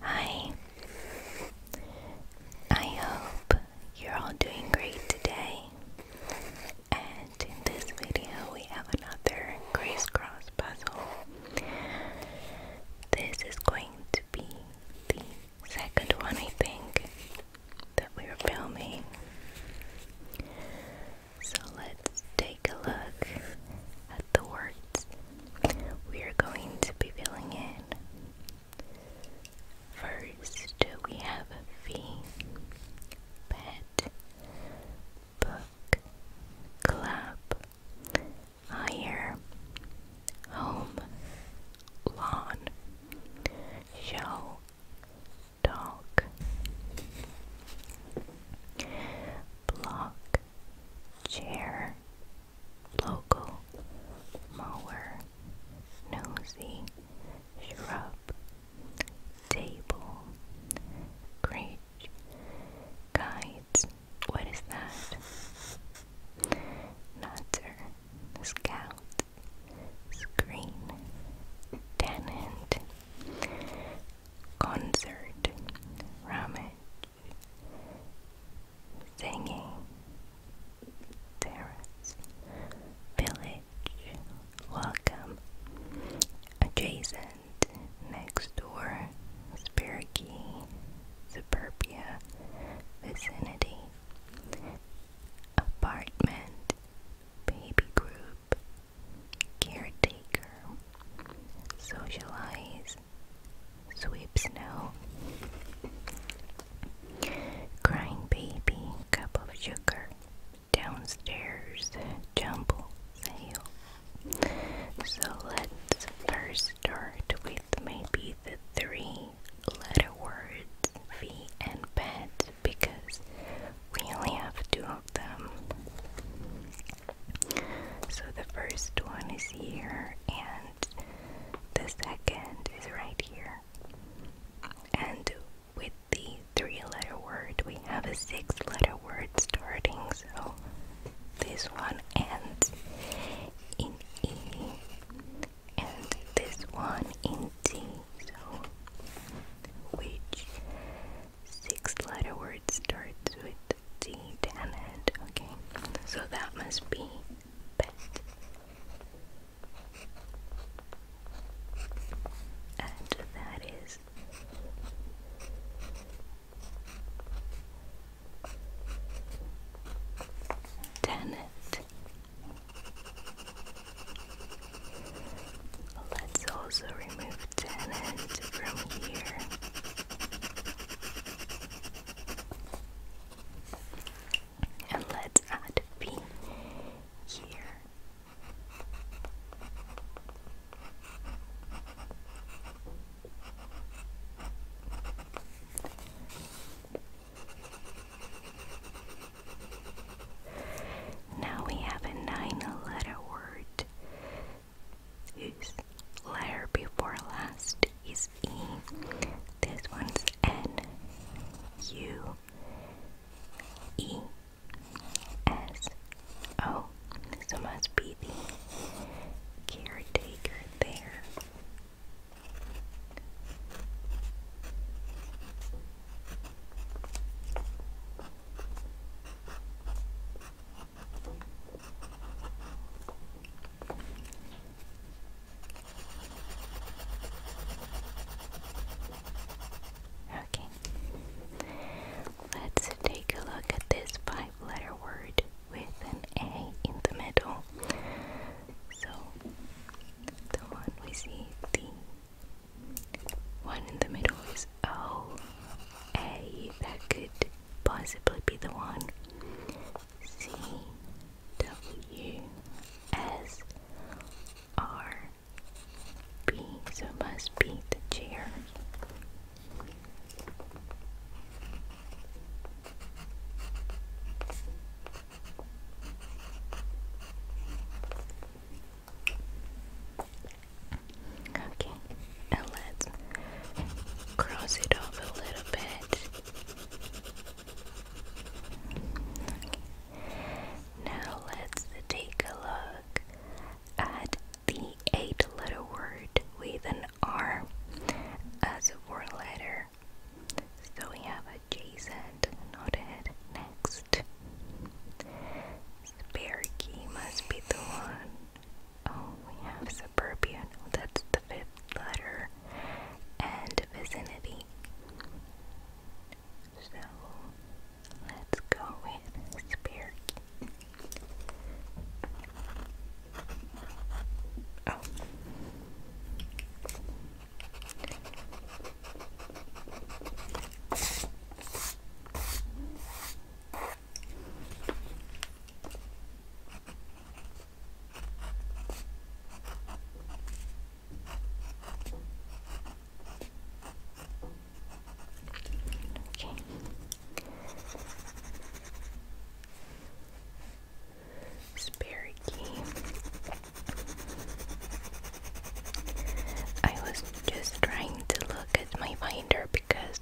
Hi. I hope you're all doing great today. And in this video, we have another crisscross puzzle. This is going to be the second one, I think, that we're filming. So let's take a look at the words we are going to be filling in. First, we have V, pet, book, club, hire, home, lawn, show, dog, block, chair, local mower, nosy, shrub, table, bridge, guides, what is that? Nutter, scout, screen, tenant, concert, ramen singing terrace village welcome adjacent next door Spirky suburbia vicinity apartment baby group caretaker socialize Sweep Snow, Crying Baby, Cup of Sugar, Downstairs, Jumble Sale. So let's first start with maybe the three letter words, fee and pet, because we only have two of them. So the first one is here, and the second is right here. And with the three letter word, we have a six letter word starting, so this one ends in E, and this one in T. So, which Sixth letter word starts with D and end, okay? So that must be pet. And that is tenant. Let's also remove tannin from here. And let's add B here. Now we have a nine letter word whose letter before last is E. This one's N U E S O. So must be the caretaker there. Okay, let's take a look at this five letter word with an A in the middle. So, the one we see, the one in the middle is O A that could possibly be the one C W S R B so it must be the chair. Okay, and let's cross it off a little bit. Now let's take a look at the eight letter word with an R as a fourth letter. So we have adjacent, noted, next. Sparky must be the one. Oh, we have suburbia. That's the fifth letter. And vicinity. So let's go with Spear. Okay. Sperry I was just trying to look at my binder because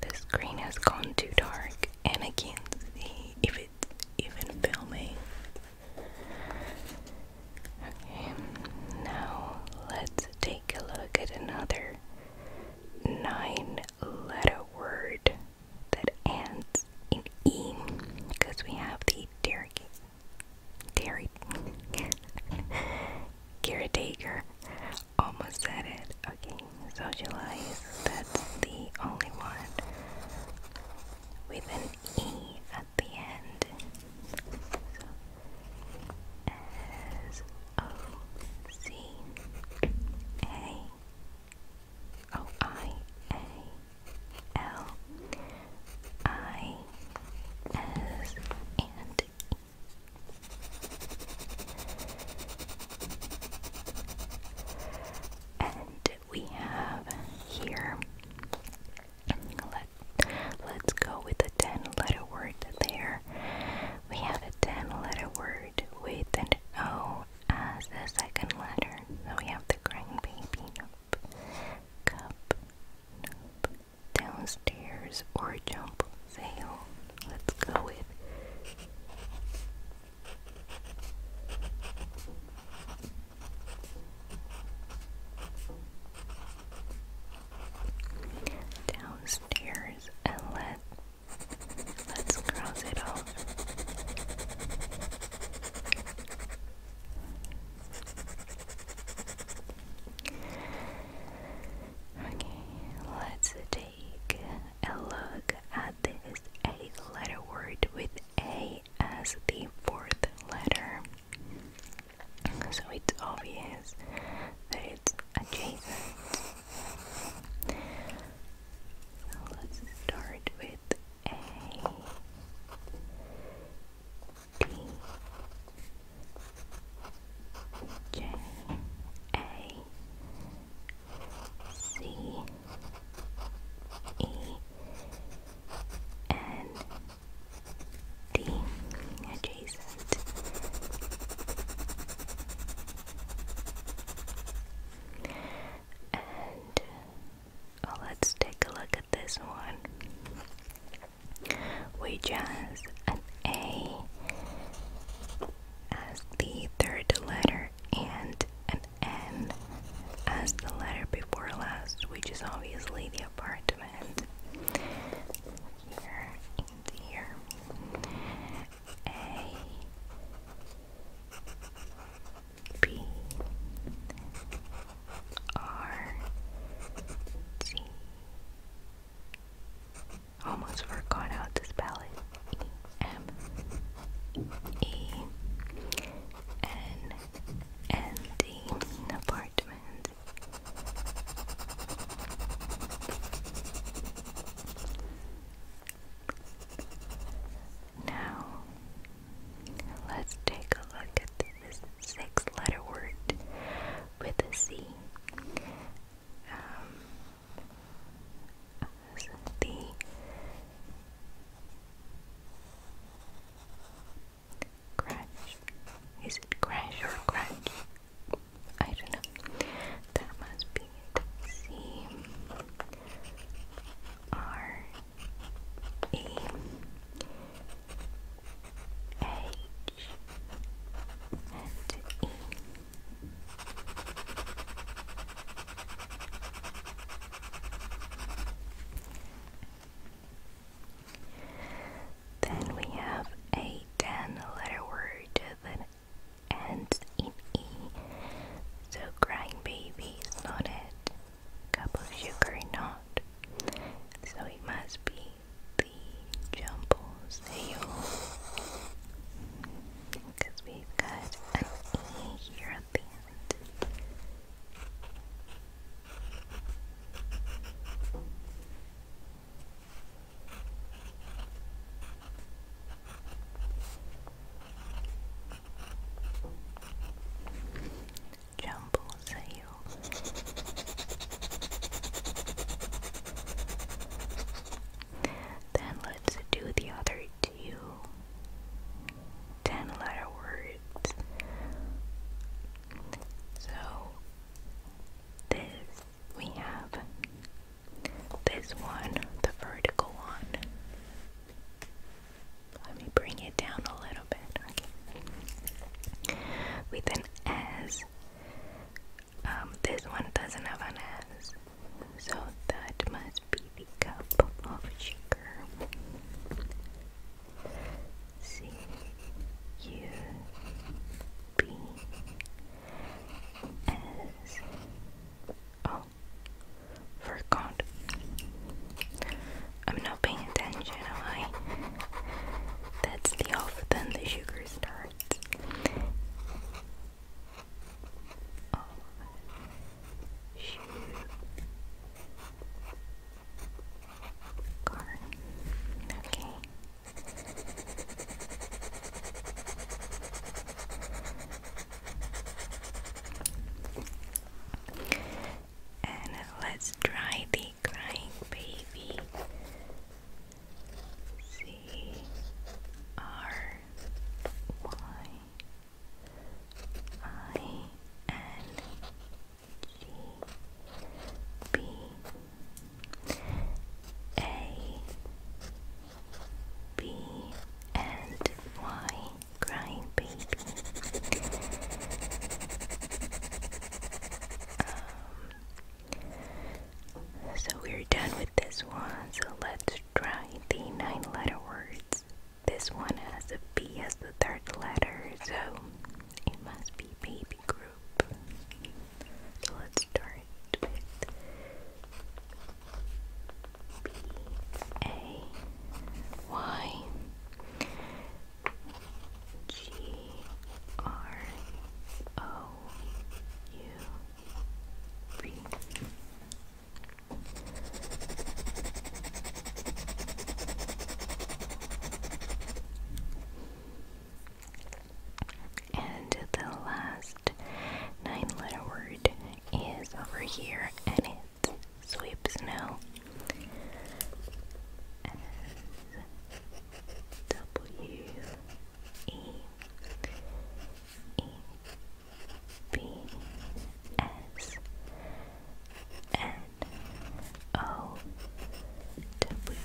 the screen has gone too dark and I can't see if it's even filming. Okay, now let's take a look at another nine letter word that ends in E because we have the turkey. Gary Gary almost said it. Okay, socialize. that's the only one with an E at the end. So S O C A O oh, I A L I S and and we have here, let, let's go with a 10 letter word there. We have a 10 letter word with an O as the second letter. So we have the crying baby, nope. Cup, nope downstairs or jump sale. Let's go with downstairs and let let's cross it off. Okay, let's take a look at this eight letter word with A as the fourth letter. So it's obvious that it's adjacent. So let's start with A. T J A C E N D adjacent. And oh, let's take a look at this one which has an A as the third letter and an N as the letter before last, which is obviously the apartment here here. A B R T Almost forgot how to spell it. E M E N N D apartment. Now, let's take a look at this this six letter word with a C. Um, the crash. Is it crash or crash? I don't know. That must be it. H and E. Then we have a 10 word that ends in E. So, crying baby is not it. Cup of sugar not. So, it must be the jumbles because we've got an E here at the end jumble sale. Then let's do the other two letter words. So this we have this one, the vertical one. Let me bring it down a little little With an S, um, this one doesn't have an S, so that must be the cup of sugar. C U B S O. Oh, forgot. I'm not paying attention, am I? That's the off, then the sugar starts. Oh, shoot. Okay and let's try the crying baby. C R Y I N G B A B and Y crying baby um, so we're done with this one, so let's try the nine letter words. This one has a B as the third letter, so it must be baby group. So let's start with B A Y G R O U V. And the last nine letter word is over here and clouds sweep snow S W E E B S N O W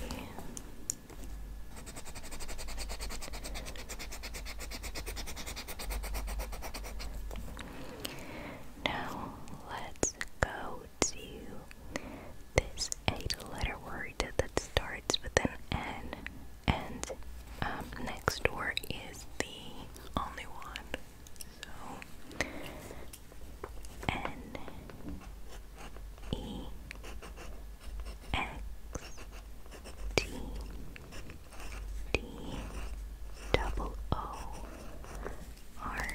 now let's go to this eight letter word that starts with an N, and um, next door is the only one. So, N E X T D double O are.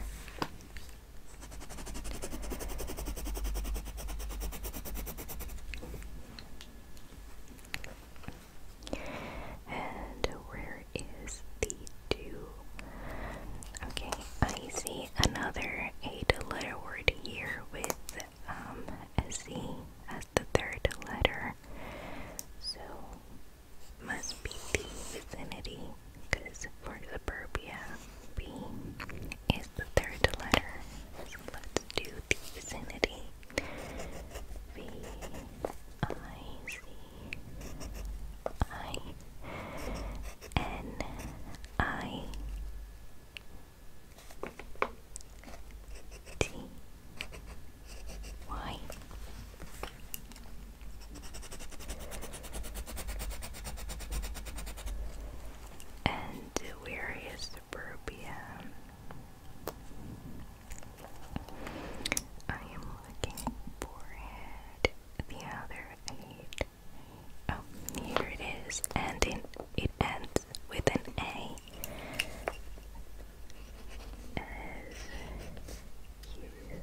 And where is the two? Okay, I see another eight letter word here with um, a Z as the third letter. So must be the vicinity because for suburbia, B is the third letter. let's do the vicinity. V I C I N I T Y and where is suburbia? I am looking for it. The other eight. Oh, here it is. And in, it ends with an A here, here,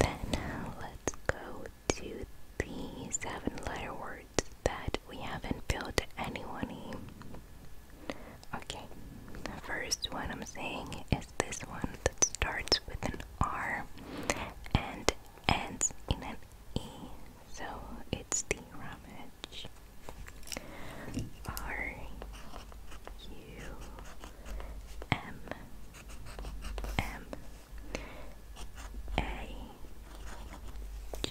Then uh, let's go to the seven letter words that we haven't filled anyone in. Okay, the first one I'm saying is this one that starts with an R and ends in an E, so it's the rummage. R U M M A G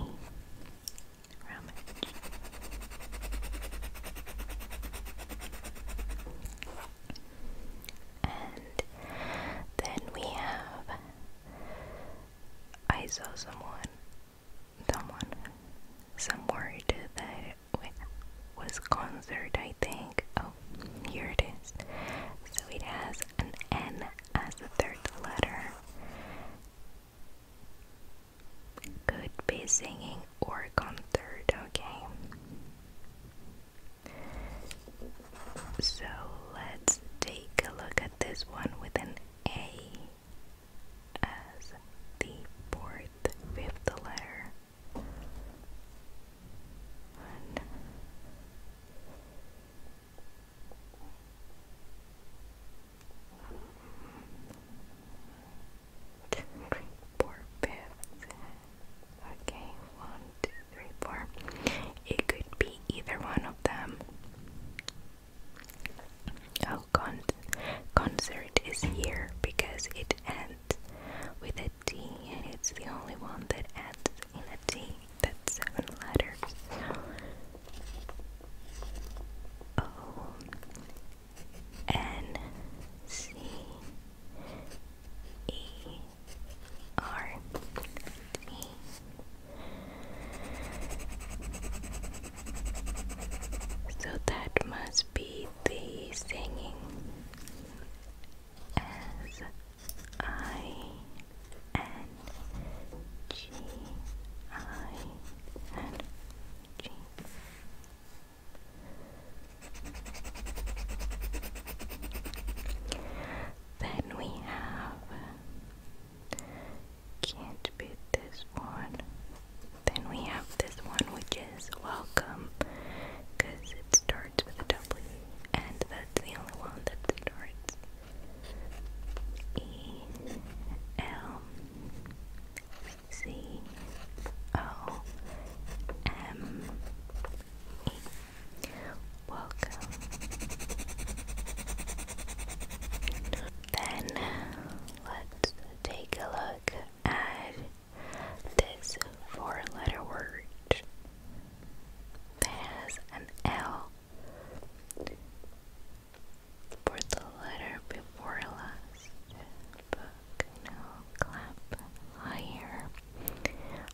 E and then we have I saw someone someone some word that was concert I think. Oh, here it is. So it has an N as the third letter could be singing or concert, okay? So let's take a look at this one with an A as the fourth, fifth letter. Three, Okay, one, two, three, four. It could be either one of them. Oh, concert is here because it ends with a T, and it's the only one that ends in a T. That's seven letters. O N C E R T So that must be the singing as N G I N G. Then we have can't beat this one. Then we have this one which is welcome because it starts with a W and that's the only one that starts E L C O M E. Welcome. Then let's take a look at this four letter word that an L for the letter before last book, now clap higher.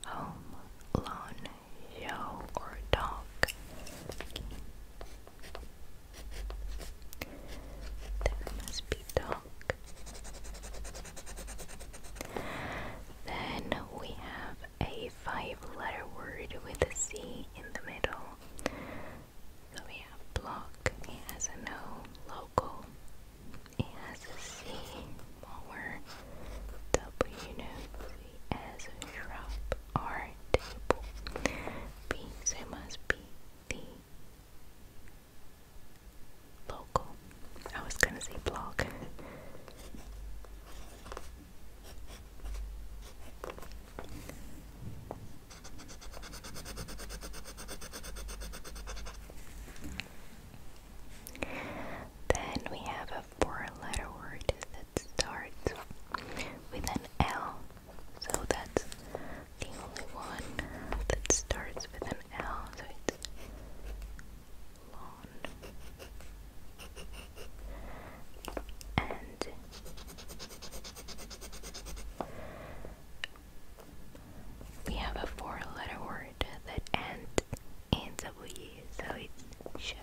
Home, lawn, yo, or dog. There must be dog. Then we have a five letter word with a C in the middle. So we have block, it has an O, local, it has a C, mower, W note, R table, B, so it must be the local. I was gonna say block. Then we have a four letter word that starts with an L. So that's the only one that starts with an L. So it's lawn and we have a four letter word that ends in W, so it's show.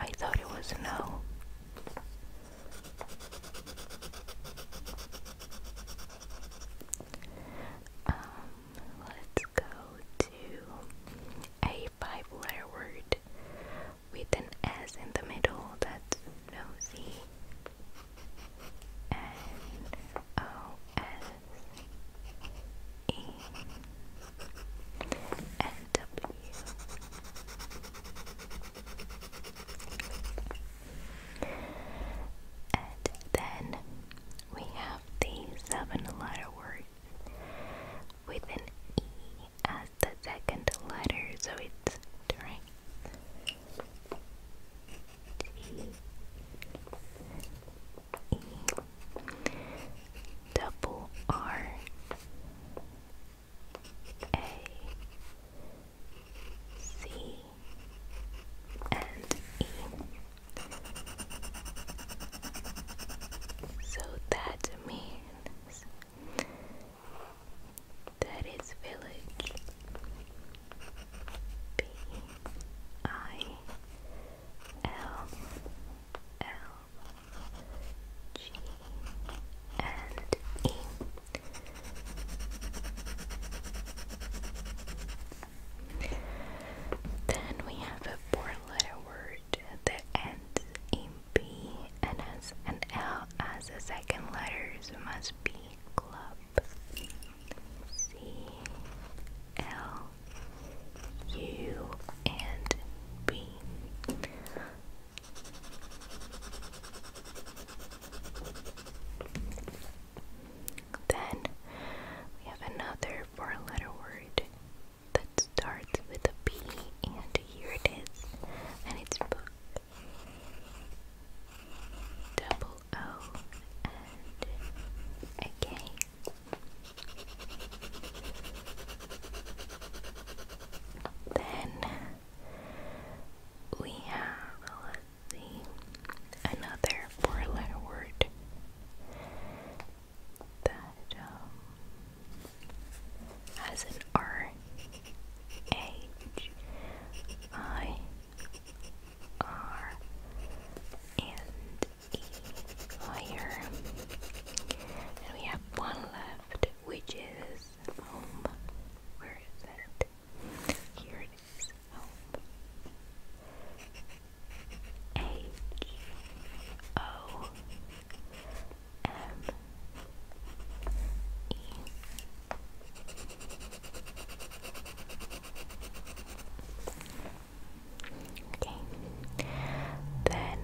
I thought it was no. Um, let's go to a five letter word with an S in the middle that's nosy. N O S E N W. And then we have the seven letter word with an E as the second letter, so it's right. So that means that it's village B I L L G and E. Then we have a four letter word that ends in B and has an L as the second letter, it must be club. C L U and B. Then we have another four letter word that starts with a B, and here it is, it's Double O and a K. Then we have, let another four letter word that um, has an R H I R and E higher. And we have one left, which is home. Um, where is it? Here it hope. H O M E Okay. Then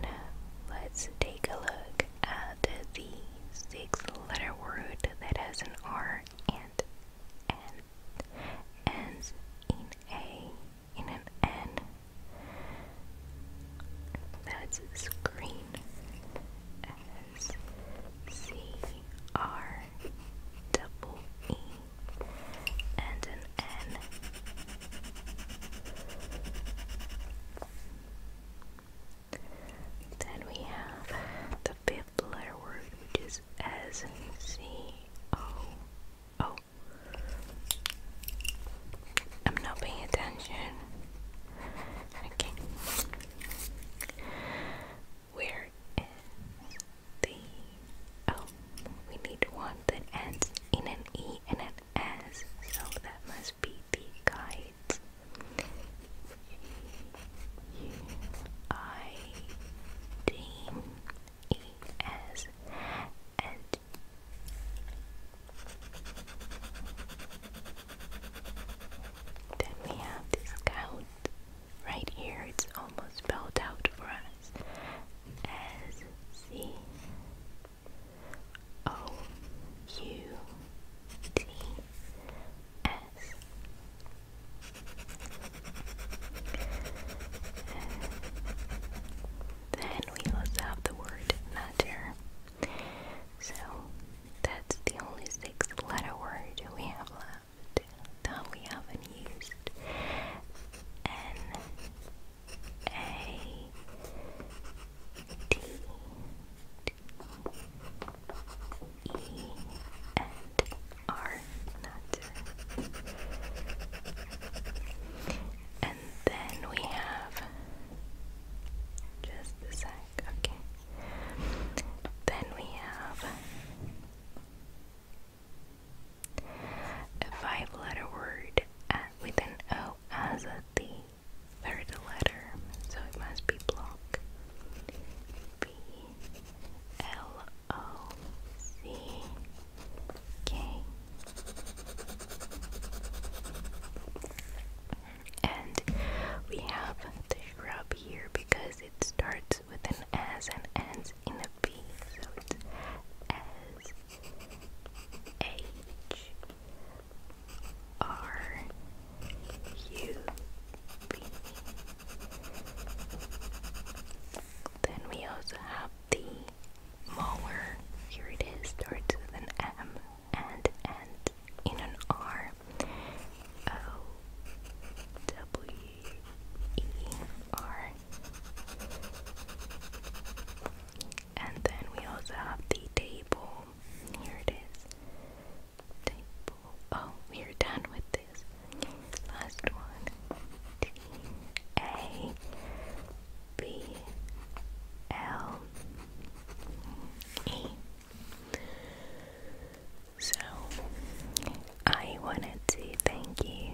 let's take a look at the six letter word that has an R and an ends in a in an N. That's screen as and an N. Then we have the a letter word which is S C O O. Oh. I'm not paying attention. Okay. Where is the oh we need one that ends in an E and an S, so that must be the guides. G U I D E-S and then we have this right here, it's almost spelled out for us as C O U T S then we also have the word matter. So that's the only six letter word we have left that we haven't used. N A T E and R then we have just the sec, okay. Then we have a five-letter word with an O as a the third letter, so it must be block. B L O C K and we have the shrub here because it starts with an S and ends in a B so it's S H R U B then we also have the mower. Here it is, starts with an M and ends in an R. O W E R. And then we also have the table. Here it is. Table. Oh, we are done with this. Last one. T A B L E. So, I wanted to thank you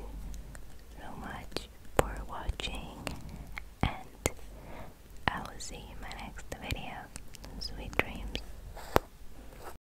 so much for watching, and I will see you in my next video. Sweet dreams.